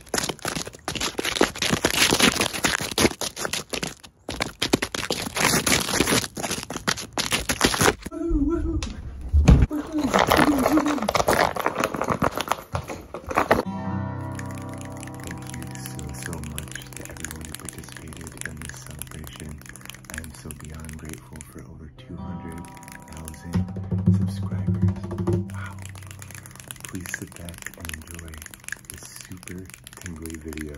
Thank you so so much to everyone who participated in this celebration. beyond grateful for over two hundred thousand subscribers. please sit back and enjoy this super tingly video.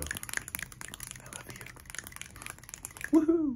I love you. Woohoo!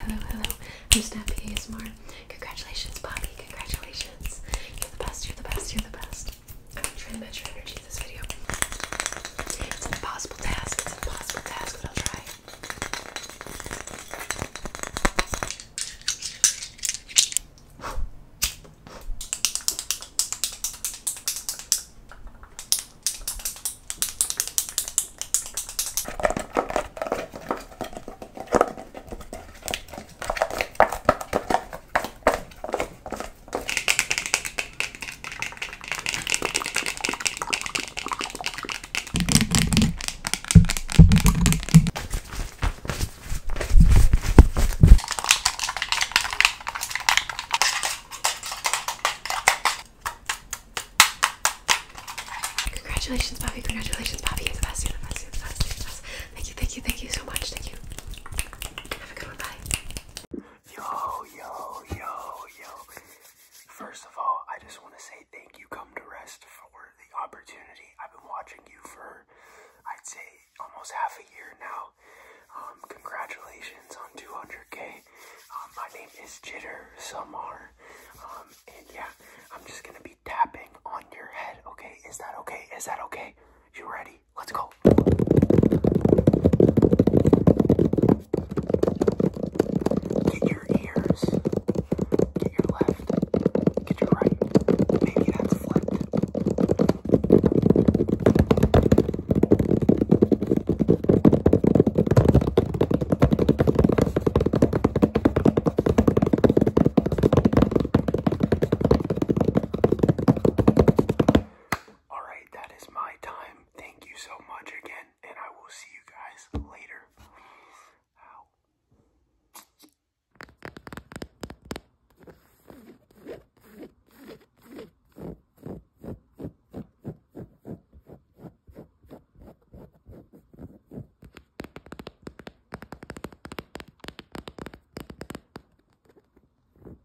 Hello, hello. I'm Snappy ASMR. Congratulations, Bobby. Congratulations. You're the best, you're the best, you're the best. I'm trying to match your energy to this video. It's an impossible task. It's an impossible task, but I'll try. Congratulations, Bobby. Congratulations, Bobby. You're the best. You're the best. You're the best. You're the best. Thank you, thank you, thank you so much. Thank you. Have a good one. Bye. Yo, yo, yo, yo. First of all, I just want to say thank you, Come to Rest, for the opportunity. I've been watching you for, I'd say, almost half a year now. Um, congratulations on 200K. Um, my name is Jitter Samar. Um, and yeah, I'm just going to be tapping on your head, okay? Is that okay? Is that okay? You ready? Let's go. Get your ears get your left, get your right, maybe that's flipped. Alright, that is my time. Thank you so much again, and I will see you guys later. Ow.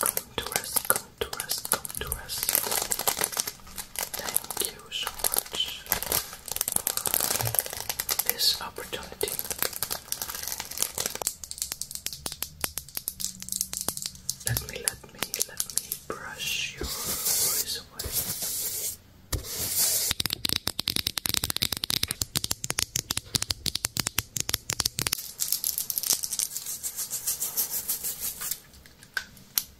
Contours, contours, contours. Thank you you this opportunity. Let me, let me, let me brush your voice away.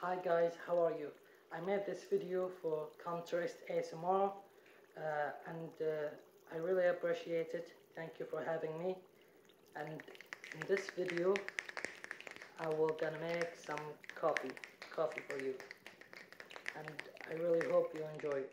Hi guys, how are you? I made this video for Contrast ASMR uh, and uh, I really appreciate it. Thank you for having me. And in this video, I will gonna make some coffee, coffee for you. And I really hope you enjoy it.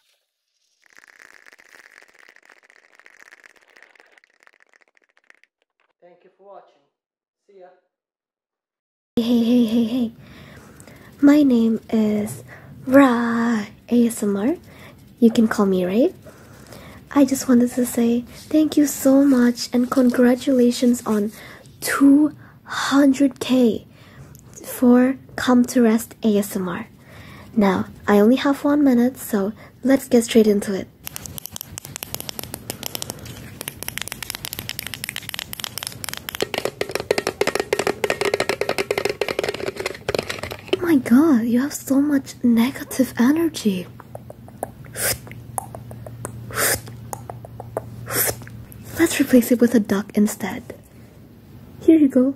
Thank you for watching. See ya. Hey, hey, hey, hey. My name is Ra ASMR. You can call me Ray. I just wanted to say thank you so much and congratulations on 200k for Come to Rest ASMR. Now, I only have one minute, so let's get straight into it. Oh my god, you have so much negative energy. Let's replace it with a duck instead. Here you go.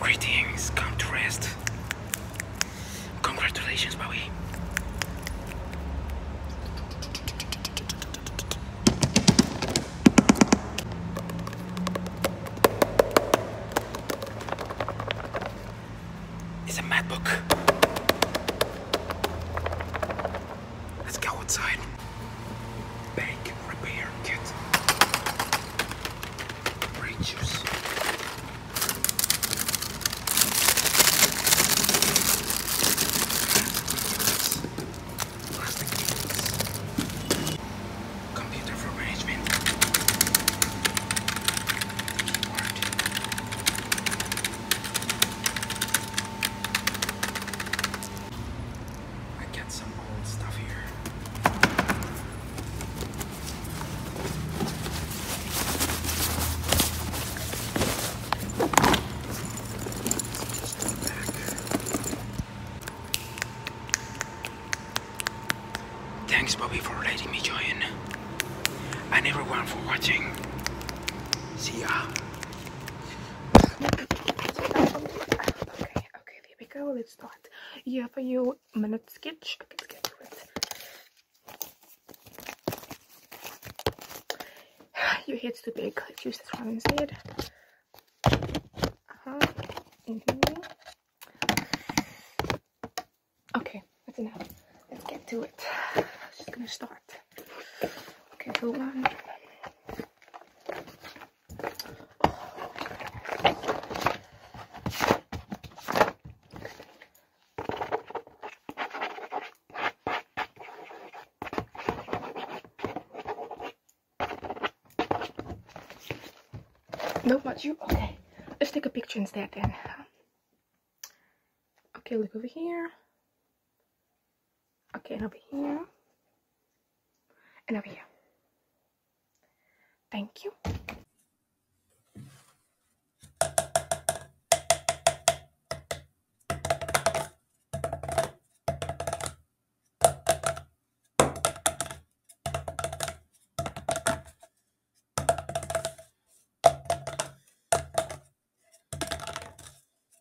Greetings, come to rest. Congratulations, Bowie. It's a mad book. Let's go outside. Bank repair kit. Grape juice. Plastic units. Computer for management. I got some old stuff here. Thanks, Bobby, for letting me join, and everyone for watching. See ya. Okay, okay, there we go. Let's start. Here for you, minute sketch. Okay, let's get to it. Your head's too big. Let's use this one instead. Uh-huh. Mm-hmm. Okay, that's enough. Let's get to it. just gonna start. Okay, hold on. Not You okay? Let's take a picture instead then. Okay, look over here. Okay, and over here. And over here. Thank you.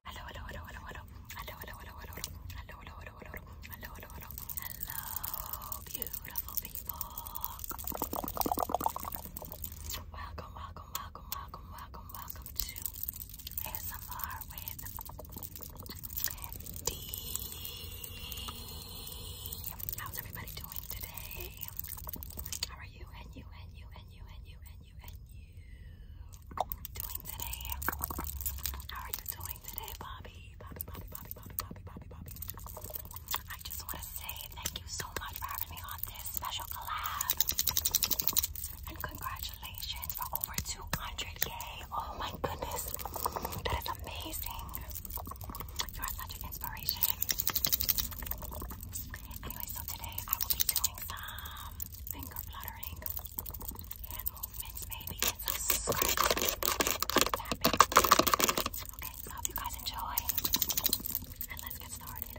Hello, hello, hello, hello, hello. Hello, hello, hello, hello, hello. Hello, hello, hello, hello, beautiful people. Welcome, welcome, welcome, welcome, welcome, welcome to ASMR with D. How's everybody doing today? How are you and you and you and you and you and how are you doing today, Bobby? Bobby, Bobby, Bobby, Bobby, Bobby, Bobby, Bobby. I just want to say thank you so much for having me on this special collab. And congratulations for over 200k. Oh my goodness. That is amazing. You are such an inspiration. Anyway, so today I will be doing some finger fluttering, hand movements, maybe, and some scratching, Okay, I hope you guys enjoy, and let's get started.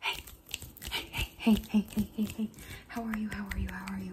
Hey, hey, hey, hey, hey, hey, How are you? How are you? How are you?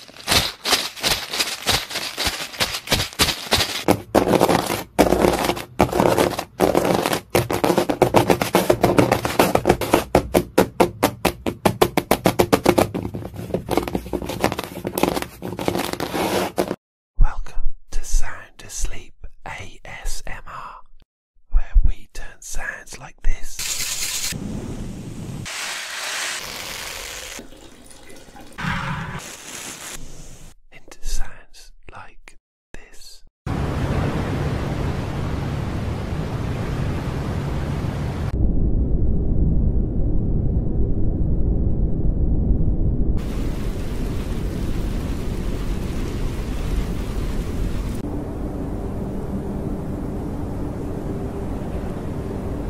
Welcome to Sound Asleep ASMR, where we turn sounds like this into sounds like this.